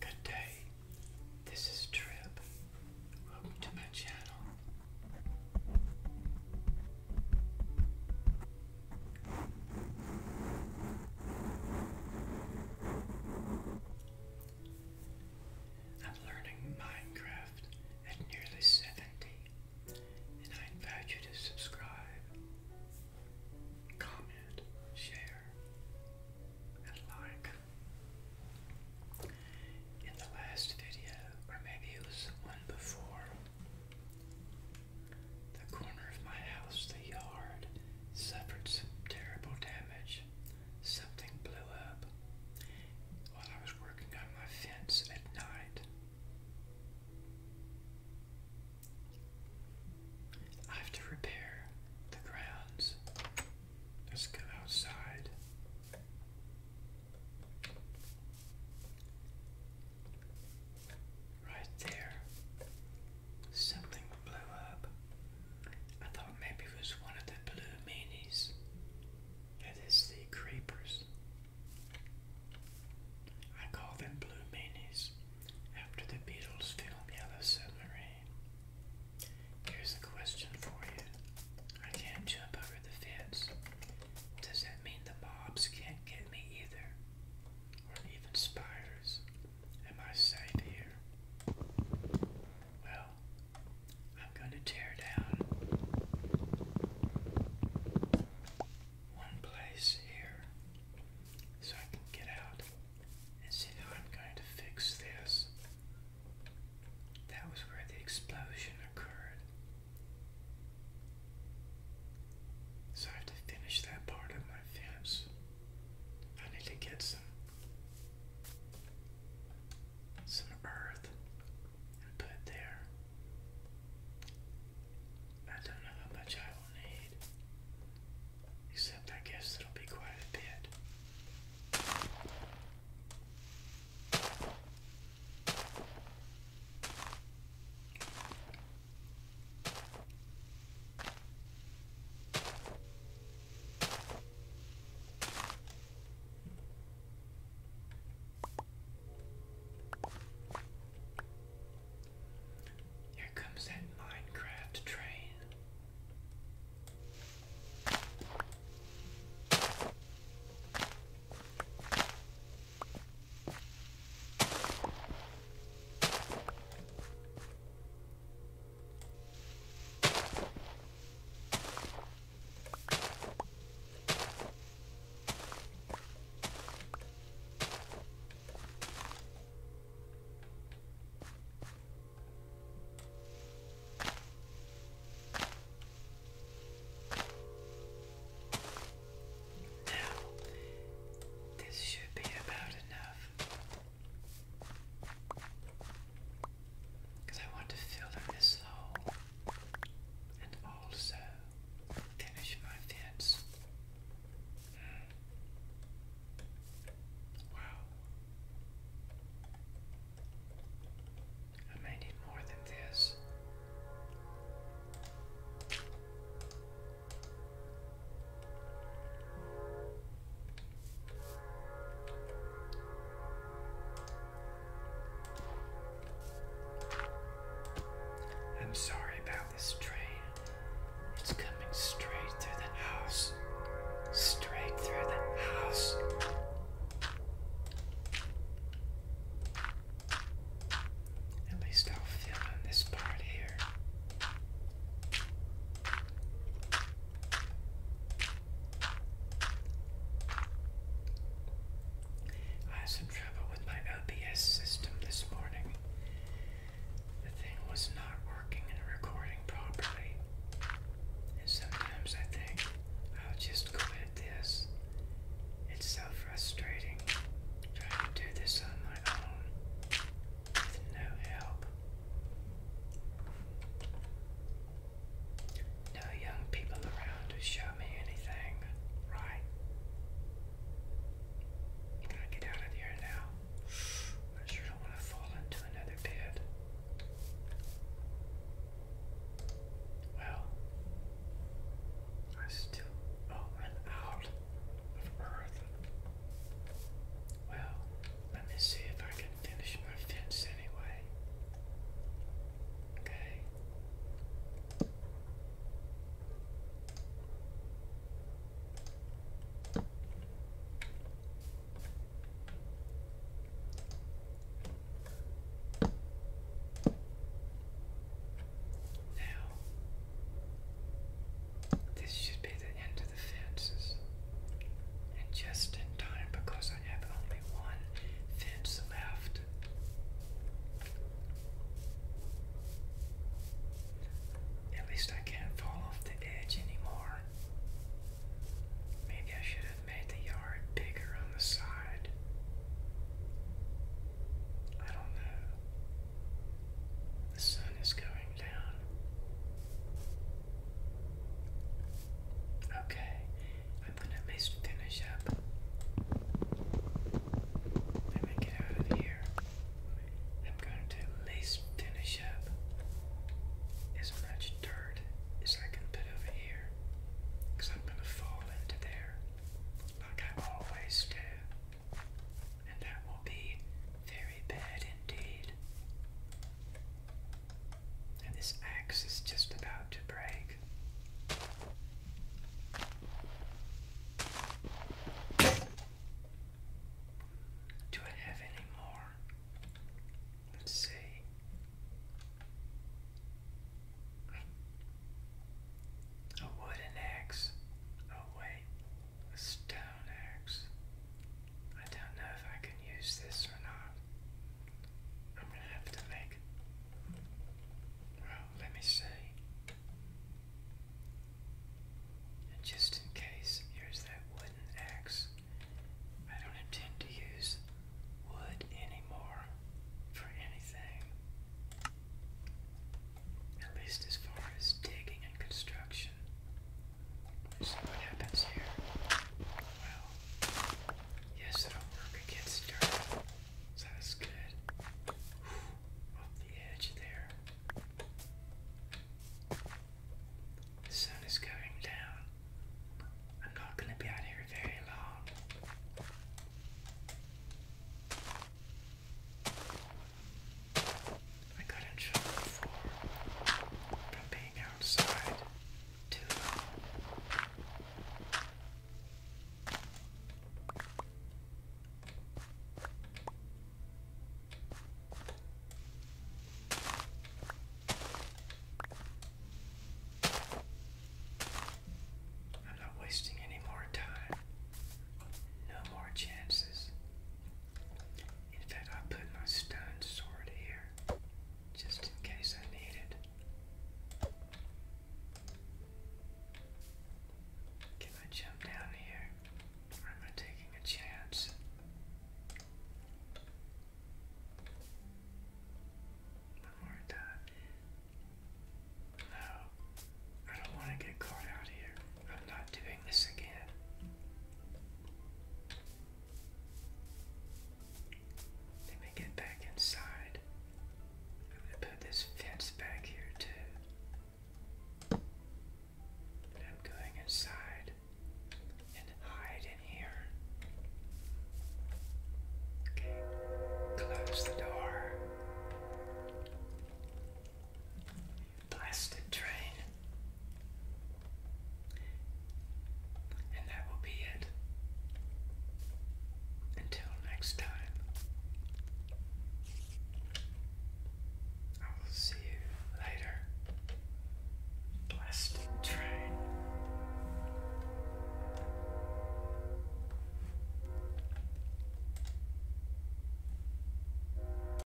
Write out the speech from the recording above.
Good day, this is Trip. Welcome to my channel. I'm learning Minecraft at nearly 70 and I invite you to subscribe, comment, share, and like. In the last video, or maybe it was the one before, the corner of my house, the yard, suffered some terrible damage. Something blew up while I was working on my fence at night. I have to repair the grounds. Let's go outside. Right there. Something blew up. I thought maybe it was one of the blue meanies. It is the creepers. I call them blue meanies after the Beatles film Yellow Submarine. Here's a question for you. I can't jump over the fence. Does that mean the mobs can't get me either? Or even spiders? Am I safe here? Well, I'm going to tear down one place here so I can get out and see how I'm going to fix this. That was where the explosion occurred. So I have to finish that part of my fence. I need to get some some earth and put it there. I don't know how much I will need, except I guess it'll be quite a bit. Here comes that Minecraft train. Now, this should be about enough because I want to fill in this hole and also finish my fence. Hmm. Wow. I may need more than this. I'm sorry about this train. It's coming straight through the house. Straight through the house. At least I'll fill in this part here. I had some trouble with my OBS system this morning. The thing was not working and recording properly. And sometimes I think I'll just quit this. It's so frustrating trying to do this on my own with no help. No young people around to show me anything, right? gotta get out of here now. I sure don't want to fall into another pit. Well, I still oh I'm out of earth. Well, let me see if I can finish my fence anyway. Okay. Now, this should be the end of the fences, and just in time because I have only one fence left. At least I can't fall off the edge anymore. Maybe I should have made the yard bigger on the side. I don't know. The sun is going down. Okay, I'm gonna finish up. Let me get out of here. I'm going to at finish up as much dirt as I can put over here. I'm going to fall into there like I always do. And that will be very bad indeed. And this axe is just about to break. Do I have any more? Let's see. A wooden axe. Oh, wait. A stone axe. I don't know if I can use this or not. I'm gonna have to make. Well, let me see. And just in case, here's that wooden axe. I don't intend to use wood anymore for anything. At least as far as digging and construction. See what happens here? Well, yes, it'll work against dirt. that's good. off the edge there. sun is going down. I'm not going to be out here very long. I got in trouble for from being outside I'm not wasting any more time. No more chances. In fact, i put my stone sword here just in case I need it. Can I jump down here? am I taking a chance? One more time. No, I don't want to get caught out here. I'm not doing this again. Let me get back inside. I'm going to put this fence back here too. But I'm going inside and hide in here. Okay, close the door plastic train. And that will be it. Until next time, I will see you later. Plastic train.